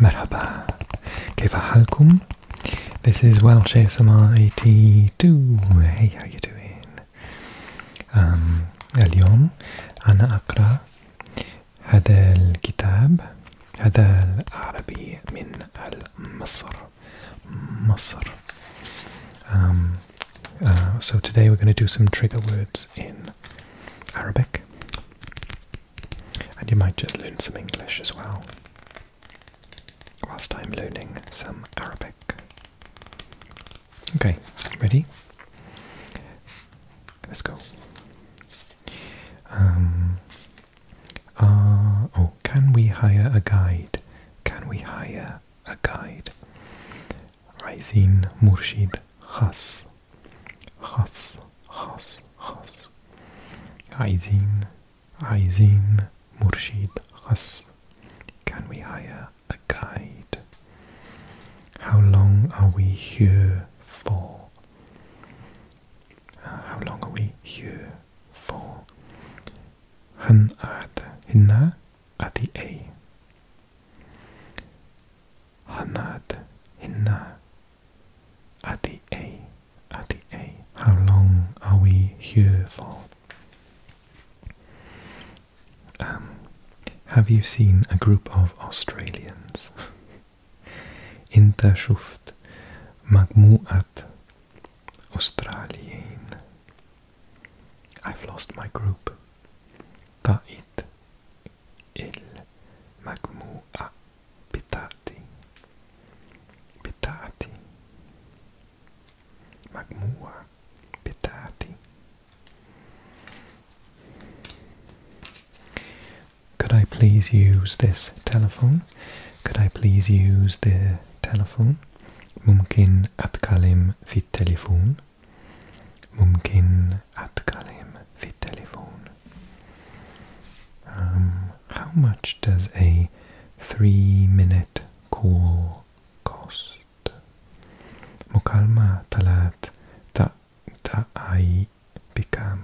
مرحبا كيف حالكم؟ This is Welsh ASMR 82 Hey how you doing? Um, اليوم أنا أقرأ هذا الكتاب هذا العربي من مصر مصر um, Uh, so today we're going to do some trigger words in Arabic. And you might just learn some English as well, whilst I'm learning some Arabic. Okay, ready? Let's go. Um, uh, oh, can we hire a guide? Can we hire a guide? Raizin Murshid has has, has, has. Aizin, Aizin, Murshid, has. Can we hire a guide? How long are we here for? Uh, how long are we here for? هنقعد هنا at the A. Hanad Hinna at the A, at the A. How long are we here for? Um, have you seen a group of Australians? Interschuft Magmuat Australien. I've lost my group. Could I please use this telephone? Could I please use the telephone? ممكن أتكلم في التليفون ممكن أتكلم في التليفون. Um, how much does a three-minute call cost? مكالمة ثلاث دقايق بكم؟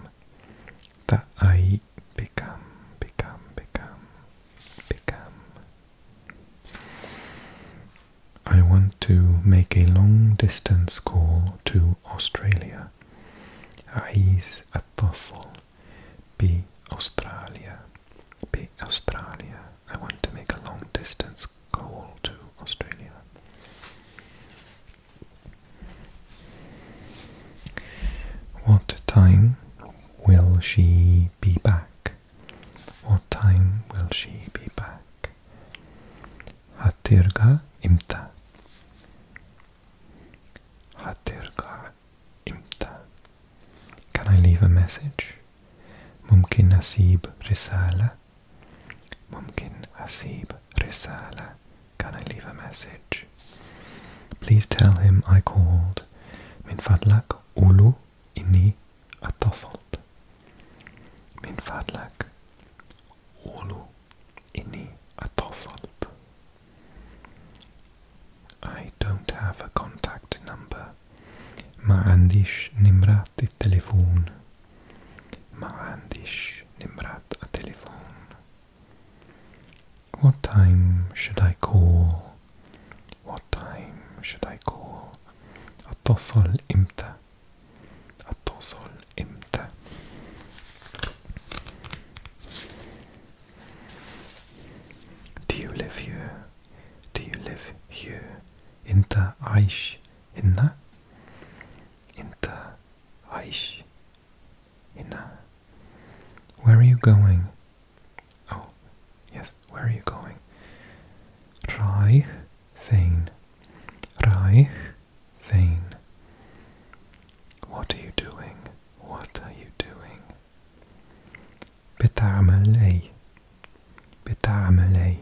دقايق بكم؟ بكم بكم بكم I want to make a long distance call to Australia. Ais atosl be Australia. Be Australia. I want to make a long distance call to Australia. What time will she be back? What time will she be back? 하테르가 임다. 하테르가 임다. Can I leave a message? ممكن أسيب رسالة. ممكن أسيب رسالة. Can I leave a message? Please tell him I called. من فضلك قول له إني اتصلت. من فضلك أولو إني أتصلت. I don't have a contact number. ما عنديش نمرات التليفون. ما عنديش نمرات التليفون. What time should I call? What time should I call? أتصل imta. Do you live here? Do you live here? In the Aish Hinna? In Aish Hinna? Where are you going? Oh, yes, where are you going? Reich Reich Thane. What are you doing? What are you doing? بتعمل أي بتعمل أي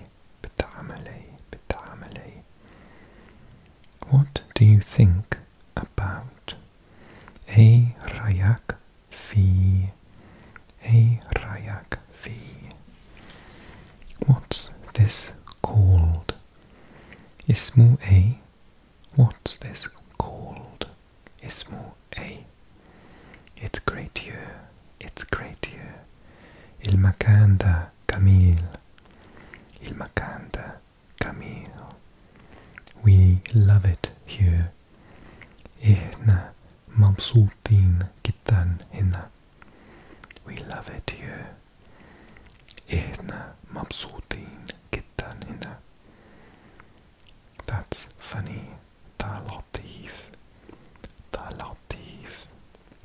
What do you think about? A rayak. في A rayak. V. What's this called? Ismu A. What's this called? Ismu A. It's great here. It's great here. Il Makanda Camille. Il Makanda Camille. We love it here. Ihna Mabsutin Kitan Hina. We love it here. إحنا مبسوطين That's funny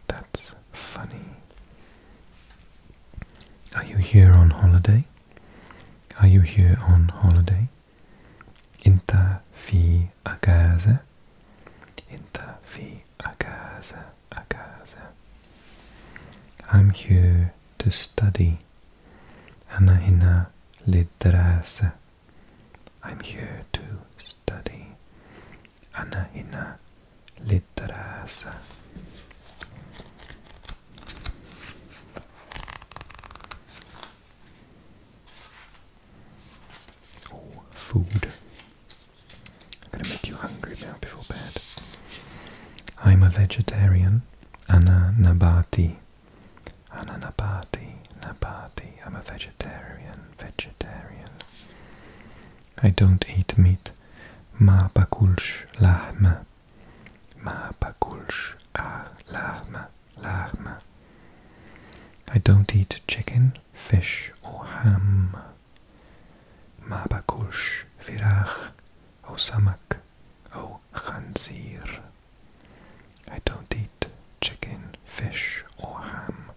That's funny Are you here on holiday? Are you here on holiday? أنت في أجازة؟ أنت في a casa, a casa. I'm here to study. Ana hina lidrasa. I'm here to study. Ana hina lidrasa. Oh, food. I'm gonna make you hungry now before bed. I'm a vegetarian. Ana nabati. Ana nabati. Nabati. I'm a vegetarian. Vegetarian. I don't eat meat. Ma bakulsh lahma. Ma bakulsh ah lahma. Lahma. I don't eat chicken fish or ham. ما باكلش فراخ أو سمك أو خنزير. I don't eat chicken, fish or ham.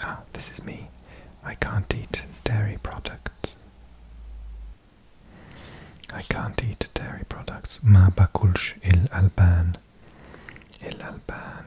Ah, this is me. I can't eat dairy products. I can't eat dairy products. Ma il Alban, il Alban.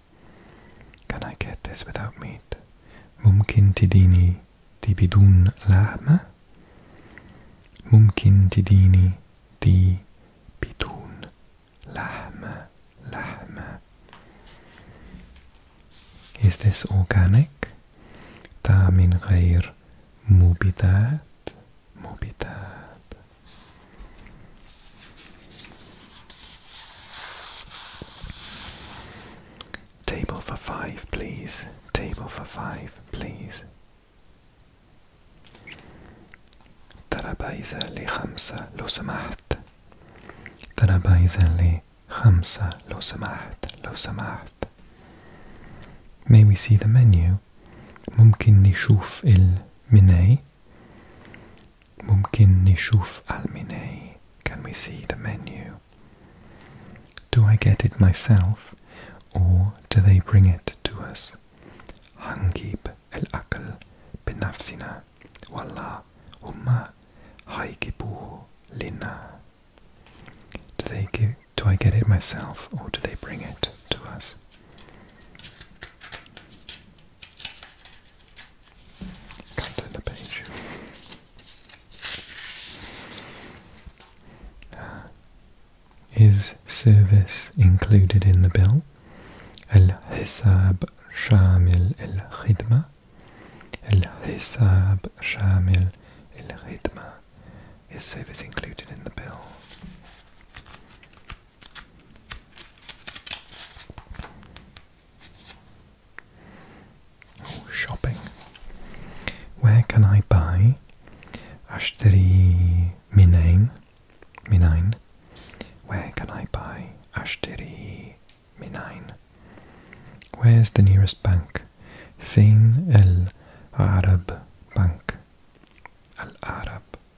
Can I get this without meat? Mumkin tidini tibidun lahma? Mumkin tidini tibidun lahma lahma. Is this organic? Ta min ghair mubidat mubidat Table for five, please. Table for five, please. ترابيزة لخمسة لو سمحت. ترابيزة لخمسة لو سمحت. لو سمحت. May we see the menu? ممكن نشوف المناي ممكن نشوف المنيو Can we see the menu? Do I get it myself or do they bring it to us? Do they give, do I get it myself or do they bring it to us? can the page. Uh, is service included in the bill? El el shamil الحساب El الخدمة. shamil el الخدمة. Is service included in the bill? Oh, shopping. Where can I buy Ashteri Minain? Minain. Where can I buy Ashteri Minain? Where's the nearest bank? Fin El Arab Bank. Al Arab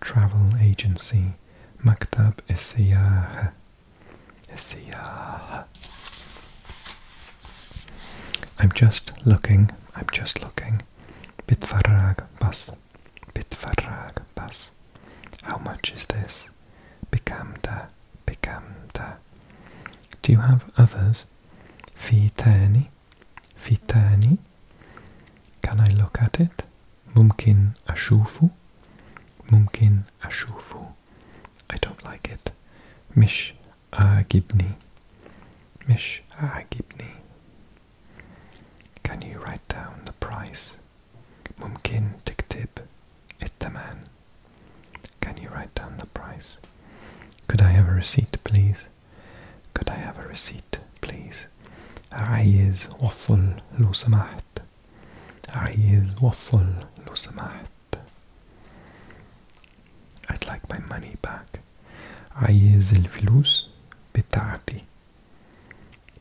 Travel Agency Maktab Essiyah Essiyah I'm just looking, I'm just looking Bit Bitfarag Bas Bitfarag Bas How much is this? Bikamta Bikamta Do you have others? Fi Terni Fitani. Can I look at it? Mumkin ashufu. Mumkin ashufu. I don't like it. Mish agibni. Mish agibni. Can you write down the price? It's the man. Can you write down the price? Could I have a receipt, please? Could I have a receipt, please? عايز وصل لو سمحت. عايز وصل لو سمحت. I'd like my money back. عايز الفلوس بتاعتي.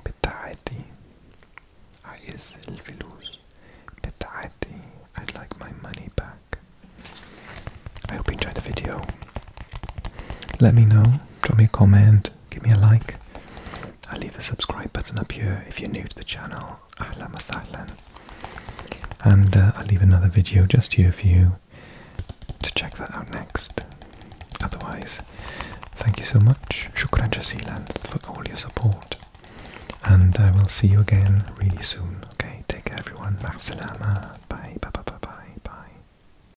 بتاعتي. عايز الفلوس بتاعتي. I'd like my money back. I hope you enjoyed the video. Let me know, drop me a comment, give me a like. I'll leave the subscribe button up here if you're new to the channel. Ahlan wa And uh, I'll leave another video just here for you to check that out next. Otherwise, thank you so much. Shukran jazilan for all your support. And I will see you again really soon. Okay, take care everyone. Bye, bye, bye, bye, bye.